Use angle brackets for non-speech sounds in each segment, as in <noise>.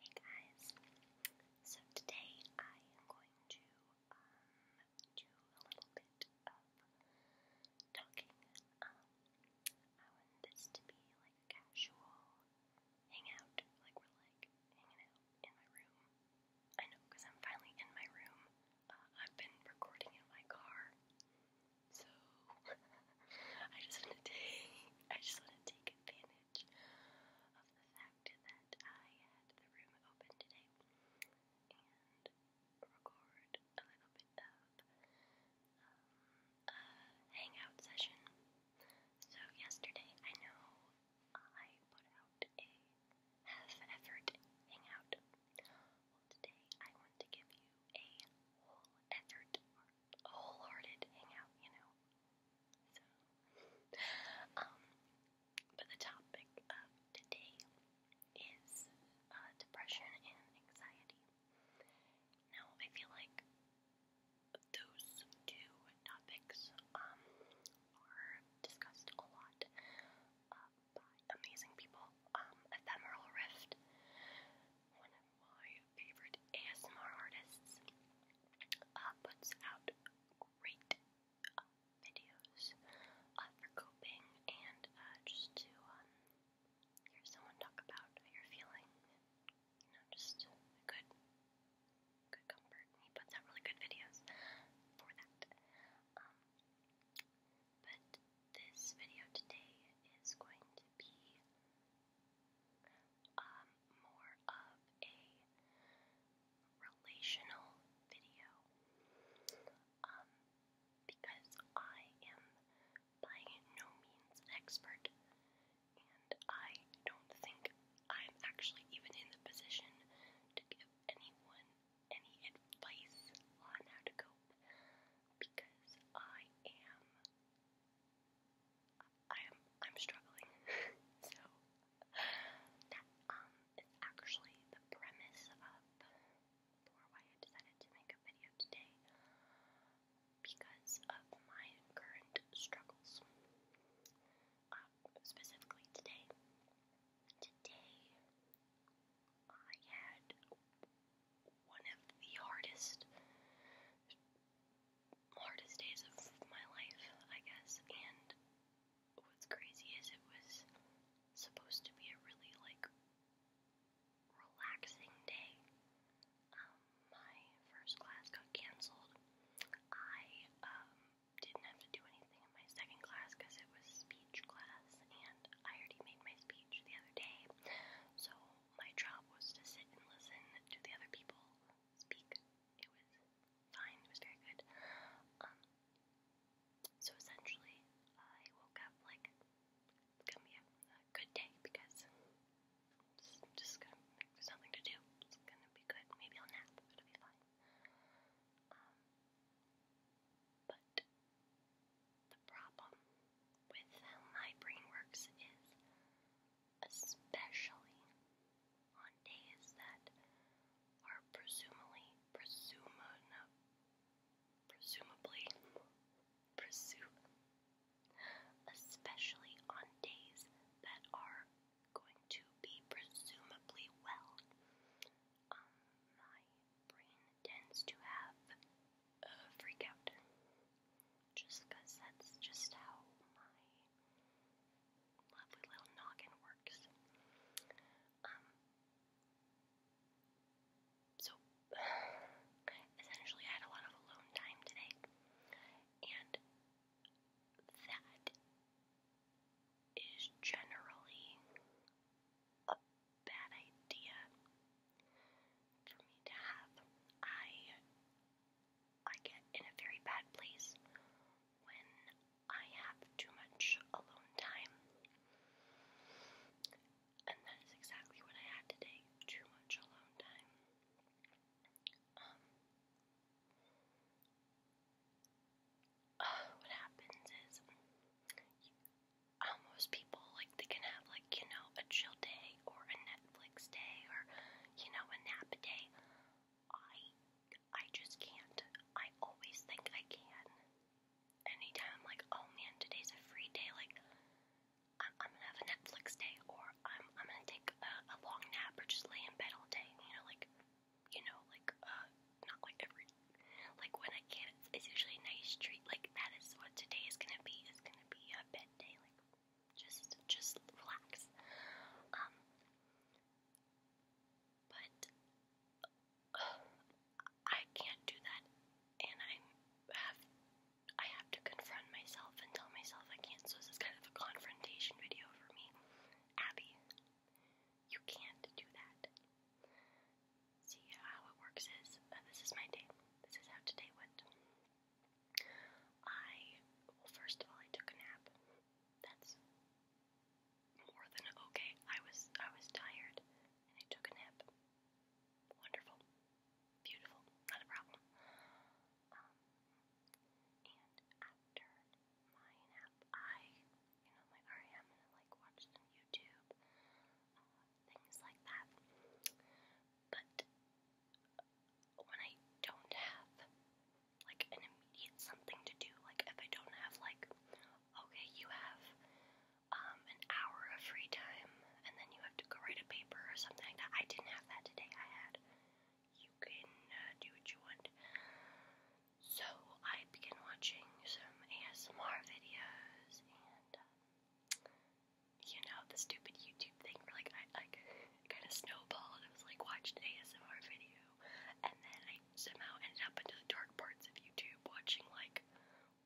Hey guys, so today I am going to um, do a little bit of talking. Um, I want this to be like a casual hangout, like we're like hanging out in my room. I know because I'm finally in my room. Uh, I've been recording in my car so <laughs> I just want to take I just want to take advantage of the fact that I had the room open today and record a little bit of um, a hangout session. So yesterday I know I put out a half effort hangout. Well today I want to give you a whole effort wholehearted hangout, you know. So, um, but the topic of today is uh, depression and anxiety. Now, I feel like those two topics um, are discussed a lot uh, by amazing people. Um, Ephemeral Rift, one my favorite ASMR artists uh, puts out great uh, videos uh, for coping and just to um, hear someone talk about how you feeling. You know, just a good, good comfort. he puts out really good videos for that. Um, but this video today is going to be um, more of a relational video um, because I am by no means an expert and I don't think I'm actually even in the position to give anyone any advice on how to cope because I am I'm I'm struggling. <laughs> so that um is actually the premise of for why I decided to make a video today because of my current struggles. Uh, specifically today. Today I had one of the hardest hardest days of my life, I guess. And what's crazy is it was supposed to be a really like relaxing day. Um, my first class got canceled. I um didn't have to do anything in my second class because it was speech class, and I already made my speech the other day. So my job was to sit and listen to the other people speak. It was fine, it was very good. Um, so essentially, I woke up like it's gonna be a, a good day because it's just gonna there's nothing to do. It's gonna be good. Maybe I'll nap. It'll be fine. Um, but the problem with how my brain works is, especially on days that are presumably, presumably, presumably, presume, especially on days that are going to be presumably well. Um, my brain tends to have uh, freak out. Just because that's just how my lovely little noggin works. Um, so, essentially, I had a lot of alone time today, and that is generally a bad idea for me to have. I I get in a very bad place when I have too much alone time. And that is exactly what I had today. Too much alone time. Um uh, <sighs> what happens is how uh, most people like they can have like you know a chill day or a Netflix day or you know a nap day. I I just can't. I always think I can. Anytime I'm like, oh man, today's a free day. Like I'm, I'm gonna have a Netflix day or I'm I'm gonna take a, a long nap or just lay in bed all day. You know like you know like uh not like every like when I can. It's, it's usually a nice treat. Like that is what today is gonna be. Is gonna be a just just relax. Um, but uh, I can't do that and I have I have to confront myself and tell myself I can't. So this is kind of a confrontation video for me. Abby, you can't do that. See how it works is uh, this is my day. This is how today went. I, well, first of all, I took a nap. That's more than okay. I was I was tired, and I took a nap. Wonderful, beautiful, not a problem. Um, and after my nap, I, you know, my REM, and I like watched some YouTube. Uh, things like that. But when I don't have like an immediate something to do, like if I don't have like, okay, you have um, an hour of free time and then you have to go write a paper or something like that. I didn't have that today. I had you can uh, do what you want. So I began watching some ASMR videos and. Um, you know, the stupid YouTube thing where like I like kind of snowballed. I was like watched an ASMR video, and then I somehow ended up into the dark parts of YouTube watching like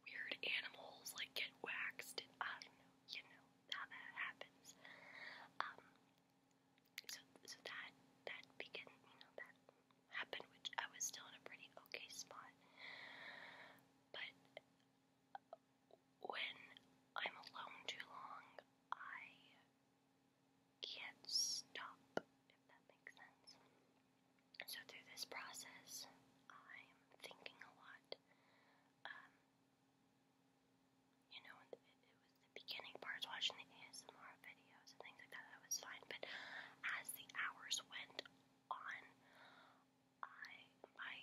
weird animals like get waxed. And I don't know, you know how that happens. Um, so so that that began, you know, that happened, which I was still in a pretty okay spot, but when I'm alone too long, I can't stop, if that makes sense. So, through this process, I'm thinking a lot. Um, you know, it, was the beginning parts watching the ASMR videos and things like that, that was fine. But as the hours went on, I my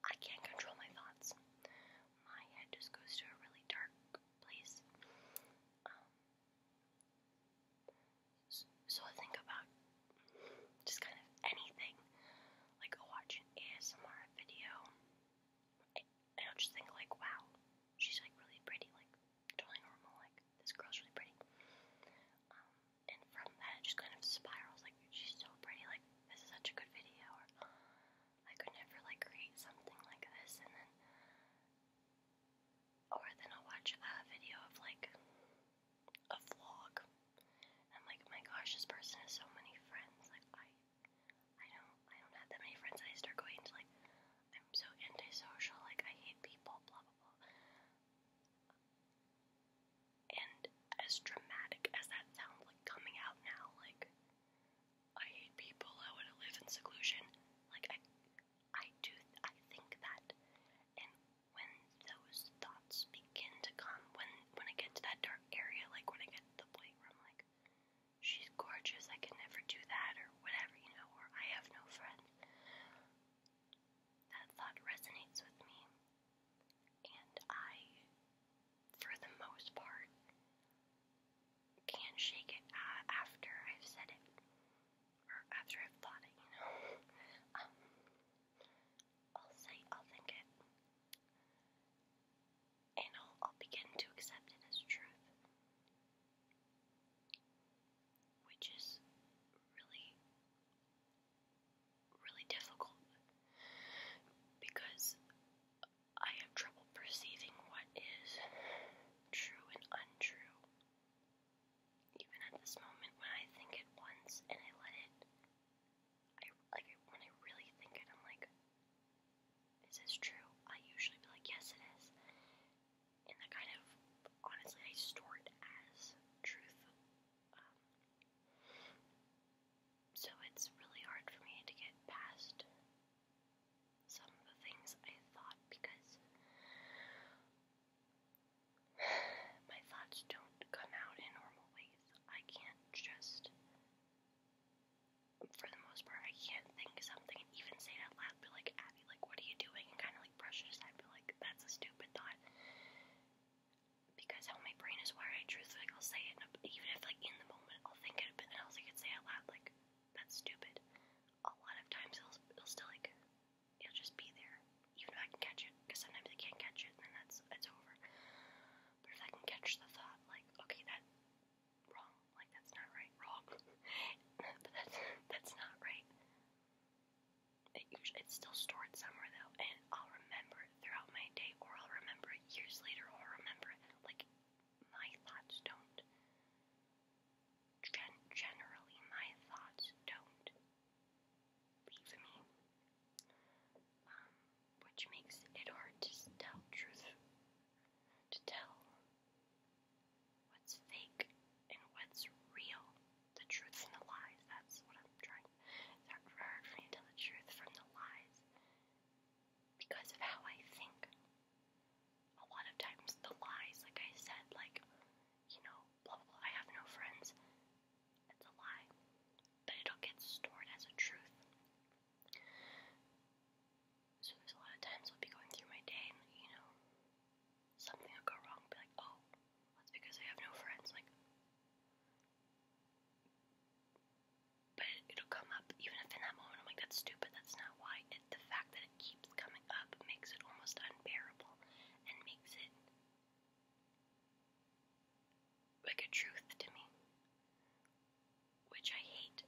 I can't control my thoughts. My head just goes to a really dark place. Um, so, so I think about just kind of anything, like I'll watch an ASMR video, and I'll just think like, wow, she's like really pretty, like totally normal, like, this girl's really pretty. Um, and from that, it just kind of spirals, like, she's so pretty, like, this is such a good video, or I could never, like, create something like this, and then, or then I'll watch a video of, like, a vlog, and I'm like, my gosh, this person has so many friends, like, I, I don't, I don't have that many friends, and I start going to, like, I'm so antisocial, like I hate people, blah blah blah. And as dramatic as that sounds, like coming out now, like I hate people, I want to live in seclusion. Like I, I do, I think that. And when those thoughts begin to come, when when I get to that dark area, like when I get to the point where I'm like, she's gorgeous, I can never do that, or whatever, you know, or I have no friends. That thought resonates with me, and I, for the most part, can't shake it uh, after I've said it or after I've thought it, you know. <laughs> Um, I'll say, I'll think it, and I'll begin to accept it as truth which is really, really difficult because I have trouble perceiving what is true and untrue. Even at this moment, when I think it once and I let it, I like when I really think it, I'm like, is this true? I usually be like, yes, it is and that kind of honestly I store it as truth. Um, so it's really hard for me to get past some of the things I thought because <sighs> my thoughts don't come out in normal ways. I can't just for the most part I can't think of something and even say it out loud, but like at me, like, what are you doing? And kind of like brush it aside, but like, that's a stupid thought. Because how my brain is wired, truthfully, like, I'll say it, even if like in the moment I'll think it, but then I'll like it say out loud, like, that's stupid. A lot of times it'll, it'll still like, it'll just be there, even if I can catch it, because sometimes I can't catch it, and then that's, it's over. But if I can catch the thought, like, okay, that wrong, like, that's not right, wrong, <laughs> but that's, that's not right, it usually it's still stored somewhere though, and I'll remember it throughout my day, or I'll remember it years later, or I'll remember it like my thoughts don't. Gen generally, my thoughts don't leave me, um, which makes it hard to tell truth. To tell what's fake and what's real, the truth and the lies. That's what I'm trying. It's hard for me to tell the truth from the lies because of how I think. A lot of times the lies, like I said, like you know, blah blah. blah I have no friends. It's a lie, but it'll get stored as a truth. So there's a lot of times I'll be going through my day, and you know, something will go wrong, be like, oh, that's because I have no friends. Like, but it, will come up even if in that moment I'm like, that's stupid. That's not why. the fact that it keeps coming up makes it almost unbearable and makes it like a truth to me, which I hate.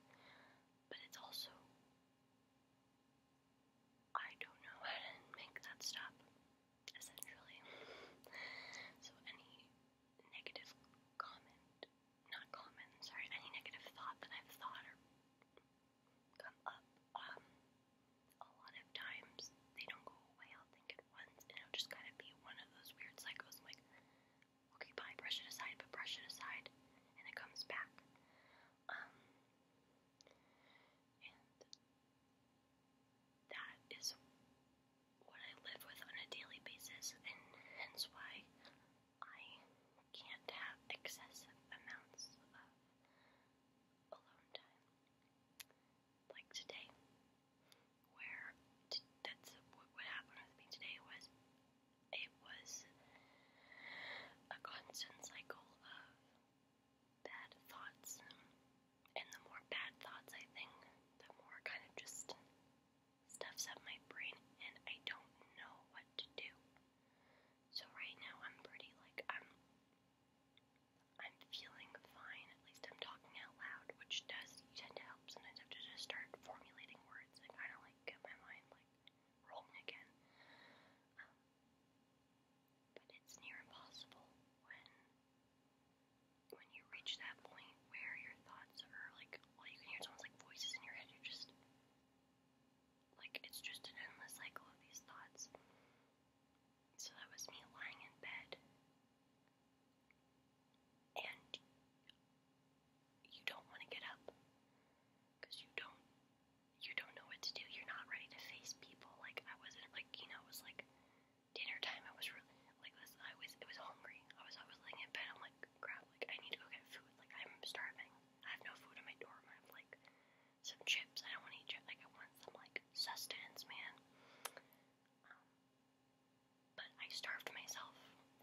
But it's also I don't know how to make that stop, essentially. so any negative comment, not comment, sorry, any negative thought that I've thought or come up, um, a lot of times they don't go away. I'll think at once, and it'll just kind of be one of those weird cycles. I'm like, okay, bye, brush it aside, but brush it aside, and it comes back. Um, and that is what I live with on a daily basis, and hence why I can't have excessive amounts of alone time. Like today, where t that's what, what happened with me today was it was a constant cycle of bad thoughts. And the more bad thoughts I think, the more kind of just stuffs up my brain and I don't know what to do. So right now I'm pretty like I'm I'm feeling fine, at least I'm talking out loud, which does tend to help. Sometimes I have to just start formulating words and kinda like get my mind like rolling again. Um, but it's near impossible when when you reach that point where your thoughts are like all you can hear is almost like voices in your head. you just like it's just an endless cycle of these thoughts. So that was me lying in bed, and you don't want to get up because you don't you don't know what to do. You're not ready to face people. Like I wasn't like you know it was like dinner time. I was really like this. I was it was hungry. I was I was laying in bed. I'm like crap. Like I need to go get food. Like I'm starving. I have no food in my dorm. I have like some chips. I don't want to eat chips. Like I want some like sustenance, man. Um, but I starved myself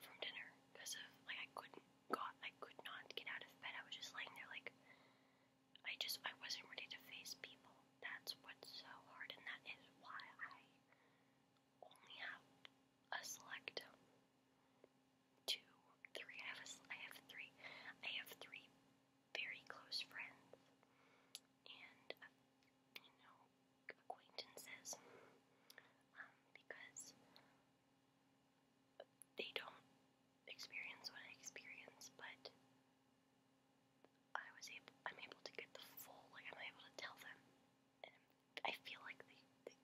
from dinner because of like I couldn't got I could not get out of bed. I was just laying there like I just I wasn't ready to face people. That's what's so hard, and that is why I only have a select two, three. I have a, I have three. I have three very close friends and uh, you know acquaintances. Um, because they don't experience what I experience, but I was able, I'm able to get the full, like, I'm able to tell them, and I feel like they, they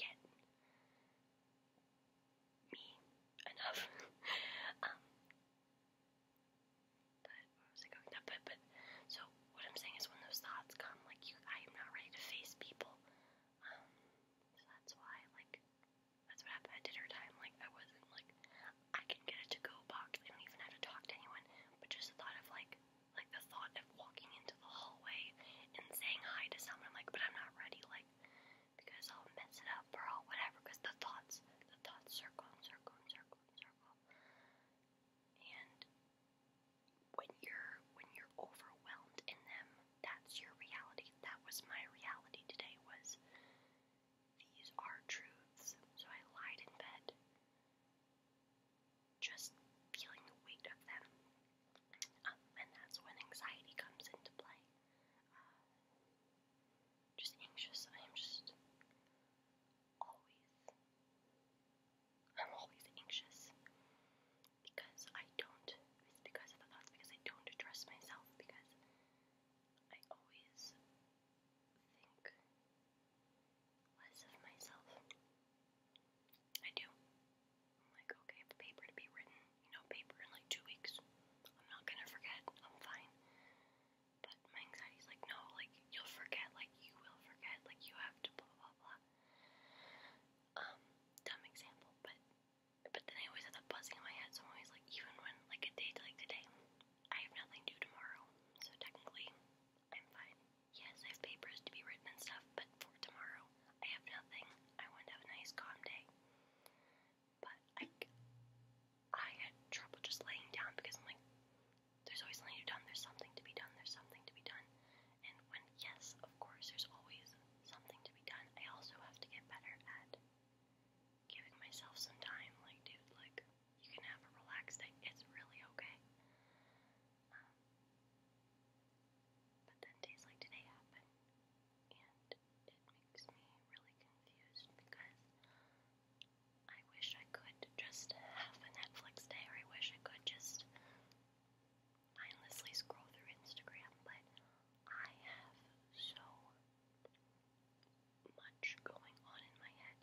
get me enough, <laughs> um, but, what was I going to, but, but, so, what I'm saying is when those thoughts come, like, you, I am not ready to face people, um, so that's why, like, that's what happened at dinner time. Like, I wasn't like, I can get a to go box. I don't even have to talk to anyone. But just the thought of like, like the thought of walking into the hallway and saying hi to someone, I'm like, but I'm not ready, like, because I'll mess it up or I'll whatever. Because the thoughts, the thoughts circle and circle and circle and circle. And when you're when you're overwhelmed in them, that's your reality. That was my reality today was these are truths. So I lied in bed. Just feeling the weight of them. Um, and that's when anxiety comes into play. Uh, just anxious. I am just always, I'm always anxious because I don't, it's because I don't trust myself, because I always think less of myself. I do. am like, okay, I have paper to be written, you know, paper in like two weeks. I'm not gonna forget, I'm fine. But my anxiety's like, no, like, you'll forget, like, you will forget, like, you have to blah blah blah. Um, dumb example, but but then I always had that buzzing in my head, so I'm always like, even when, like, a day to, like today, I have nothing due tomorrow, so technically, I'm fine. Yes, I have papers to be written and stuff, but for tomorrow, I have nothing. I want to have a nice, calm day. But I, I had trouble just laying down because I'm like, there's always something to be done, there's something to be done, there's something to be done. And when, yes, of course, there's always something to be done. I also have to get better at giving myself some time. Like, dude, like, you can have a relaxed day. It's really okay. Um, but then days like today happen, and it makes me really confused because I wish I could just have a Netflix day, or I wish I could just mindlessly scroll through Instagram, but I have so much going on in my head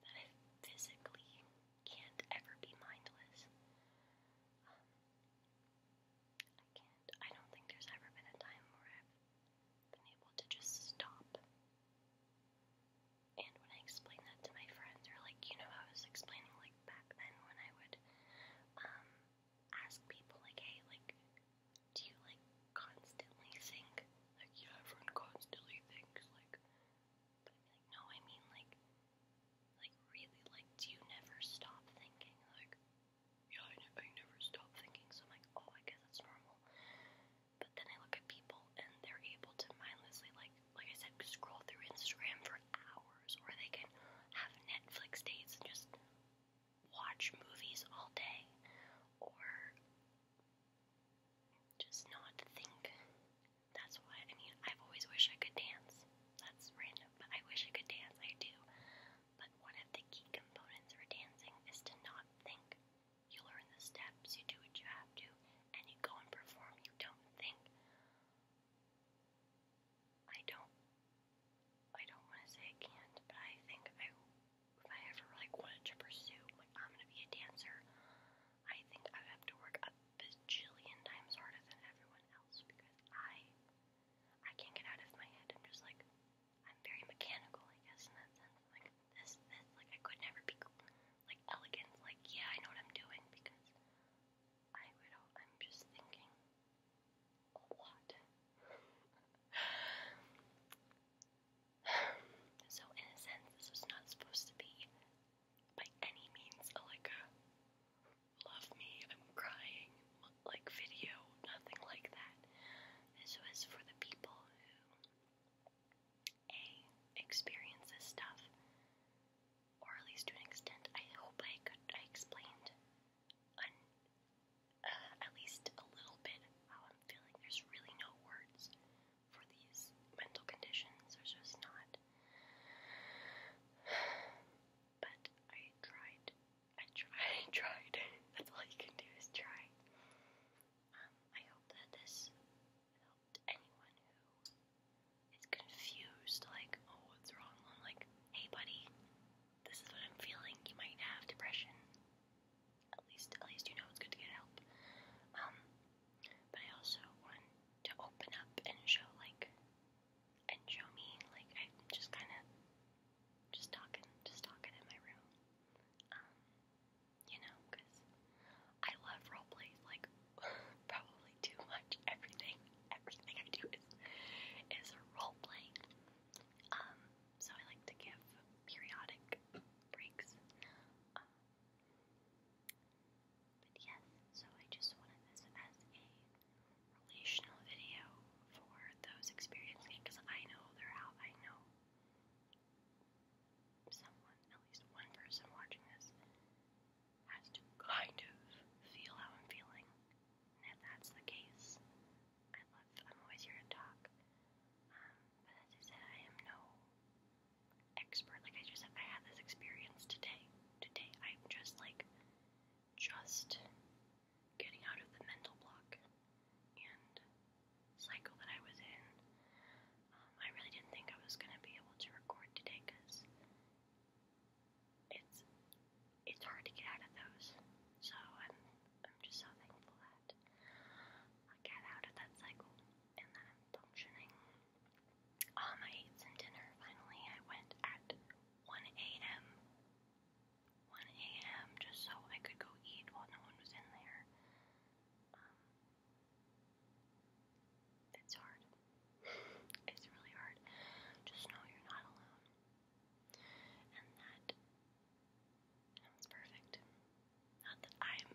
that I physically can't ever be mindless. Um, I can't. I don't think there's ever been a time where I've been able to just stop. And when I explain that to my friends, they're like, you know, I was explaining like back then when I would um ask people like, hey, like, do you like constantly think? Like, yeah, everyone constantly thinks like, but like, no, I mean like, like really, like, do you never stop thinking? Like, yeah, I, ne I never stop thinking. So I'm like, oh, I guess that's normal. But then I look at people and they're able to mindlessly like, like I said, scroll through Instagram for hours, or they can have Netflix dates and just watch movies all day or just not think. That's why, I mean, I've always wished I could dance. That's random, but I wish I could dance. I do. But one of the key components for dancing is to not think. You learn the steps, you do what you have to, and you go and perform. You don't think. I don't I don't want to say I can't, but I think I, if I ever like wanted to pursue, like I'm gonna be a dancer, I think I would have to work a bajillion times harder than everyone else because I, I can't get out of my head. I'm just like, I'm very mechanical, I guess, in that sense. Like this, this, like I could never be like elegant. Like yeah, I know what I'm doing because I would. I'm just thinking a lot. so, in a sense, this was not supposed to be by any means a, like a love me, I'm crying, like video, nothing like that. This was for the people who A. experience this stuff, or at least to an extent, I hope I could, I explained uh, at least a little bit how I'm feeling. There's really no words for these mental conditions. There's just not. <sighs> But I tried. I tried. <laughs> I tried. That's all you can do is try. Um, I hope that this helped anyone who is confused, like, oh, what's wrong? I'm like, hey, buddy, this is what I'm feeling. You might have depression. At least, at least you know it's good to get help. Um, but I also want to open up and show like, and show me like I'm just kind of just talking, just talking in my room. Um, you know, cause I love role plays like <laughs> probably too much. Everything everything I do is is role playing. Um, so I like to give periodic breaks. Um, but yes, so I just wanted this as a relational video for those experiencing it because I know they're out. I know someone, at least one person watching this, has to kind of feel how I'm feeling. And if that's the case, I love, I'm always here to talk. Um, but as I said, I am no expert. Like I just said, I had this experience today. Today, I'm just like, just getting out of the mental block and cycle that I was in. Um, I really didn't think I was going to be able to record today because it's it's hard to get out of those. So I'm I'm just so thankful that I got out of that cycle and that I'm functioning. Um, I ate some dinner finally. I went at 1 a.m. 1 a.m. just so I could go eat while no one was in there. Um, it's hard. It's really hard. Just know you're not alone. And that sounds perfect. Not that I'm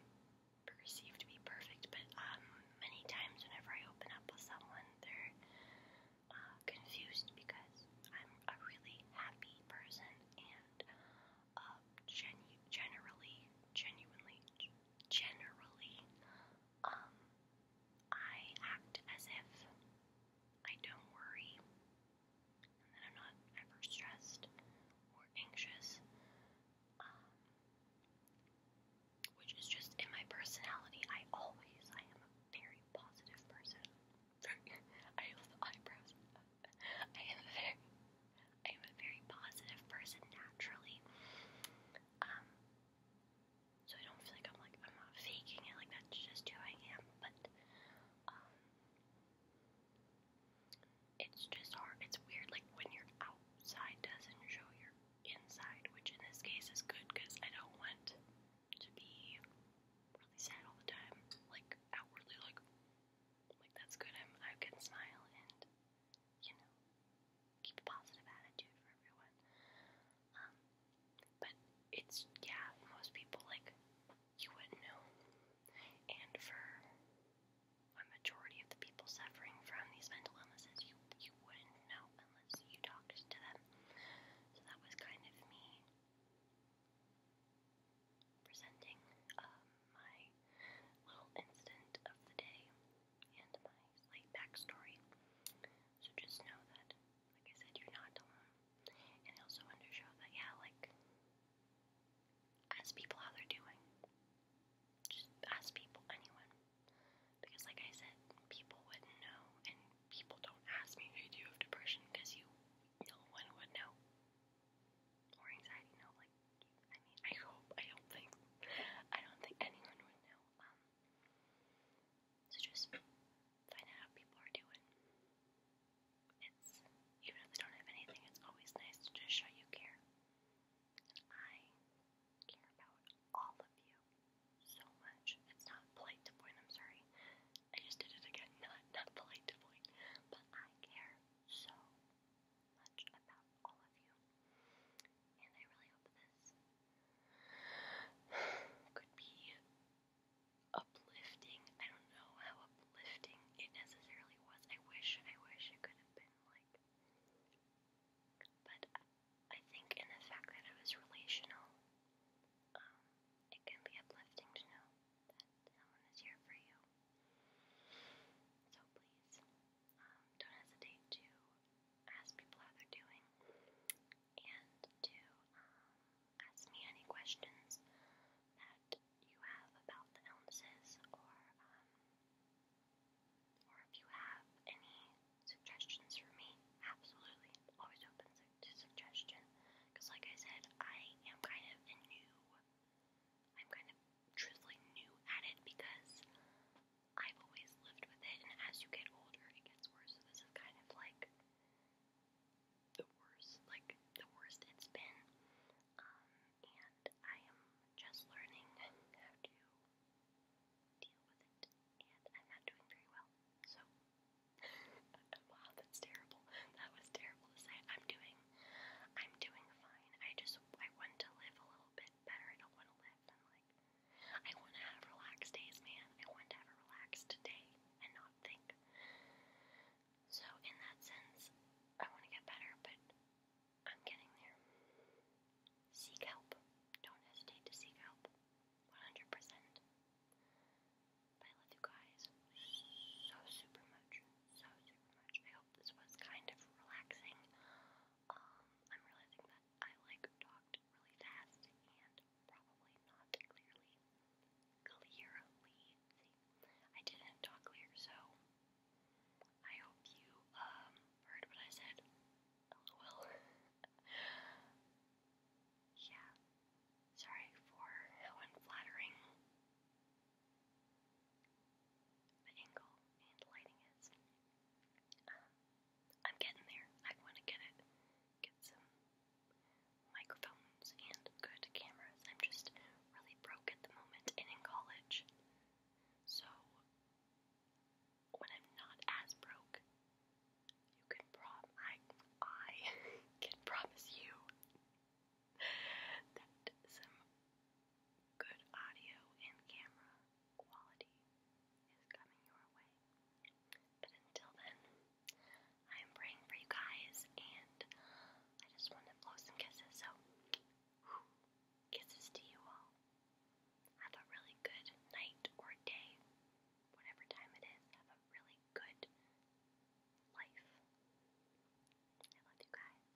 perceived to be perfect, but um, many times whenever I open up with someone, they're uh, confused because I'm a really happy person and uh, genu generally, genuinely, generally, um, I act as if I don't worry and that I'm not ever stressed or anxious, um, which is just in my personality. I always, I am a very positive person. <laughs> I love the eyebrows. <laughs> I am a very, I am a very positive person naturally. Um, so I don't feel like I'm like I'm not faking it. Like that's just who I am. But um, it's just hard. It's weird. Like when your outside doesn't show your inside, which in this case is good because I don't want to be really sad all the time. Like outwardly, like like that's good. I'm I can smile and you know keep a positive attitude for everyone. Um, but it's, yeah, most people, like, you wouldn't know. And for a majority of the people suffering from these mental illnesses, you, you wouldn't know unless you talked to them. So that was kind of me presenting um, my little incident of the day and my slight backstory. So just know that like I said, you're not alone. And it also wanted to show that, yeah, like, ask people how they're doing. Just ask people, anyone. Because, like I said, people wouldn't know, and people don't ask me, hey, do you have depression? Because you, no one would know. Or anxiety, no, like, I mean, I hope, I don't think, I don't think anyone would know. Um, so just find out how people are doing. It's even if they don't have anything, it's always nice to just show you care. I care about all of you so much. It's not polite to point, I'm sorry. I just did it again, <laughs> not not polite to point. But I care so much about all of you. And I really hope this <sighs> could be uplifting. I don't know how uplifting it necessarily was. I wish, I wish it could have been like. But I think in the fact that it was relational, um, it can be uplifting to know that someone is here for you. So please, um, don't hesitate to ask people how they're doing and to um, ask me any questions that you have about the illnesses or um, or if you have any suggestions for me, absolutely. Always open to suggestion. Because like I said, I am kind of a new, I'm kind of truthfully new at it because I've always lived with it. And as you get older, it gets worse so this is kind of like the worst, like the worst it's been. Um, and I am just learning how to deal with it, and I'm not doing very well. So, wow, <laughs> oh, that's terrible. That was terrible to say. I'm doing, I'm doing fine. I just, I want to live a little bit better. I don't want to live in like I want to have relaxed days, man. I want to have a relaxed day and not think. So, in that sense, I want to get better, but I'm getting there. Seek help. Don't hesitate to seek help. 100%. But I love you guys so super much. So super much. I hope this was kind of relaxing. Um, I'm realizing that I like talked really fast and Probably not clearly. Clearly. I didn't talk clear, so I hope you um heard what I said. Oh, LOL. <laughs> yeah. Sorry for how unflattering the angle and lighting is. Um, I'm getting there. I want to get it. Get some microphones and good cameras. I'm just really broke at the moment and in college. So, when I'm not as broke, you can prom I I <laughs> can promise you that some good audio and camera quality is coming your way. But until then, I am praying for you guys, and I just want to blow some kisses, so kisses to you all. Have a really good night or day, whatever time it is. Have a really good life. I love you guys. Bye.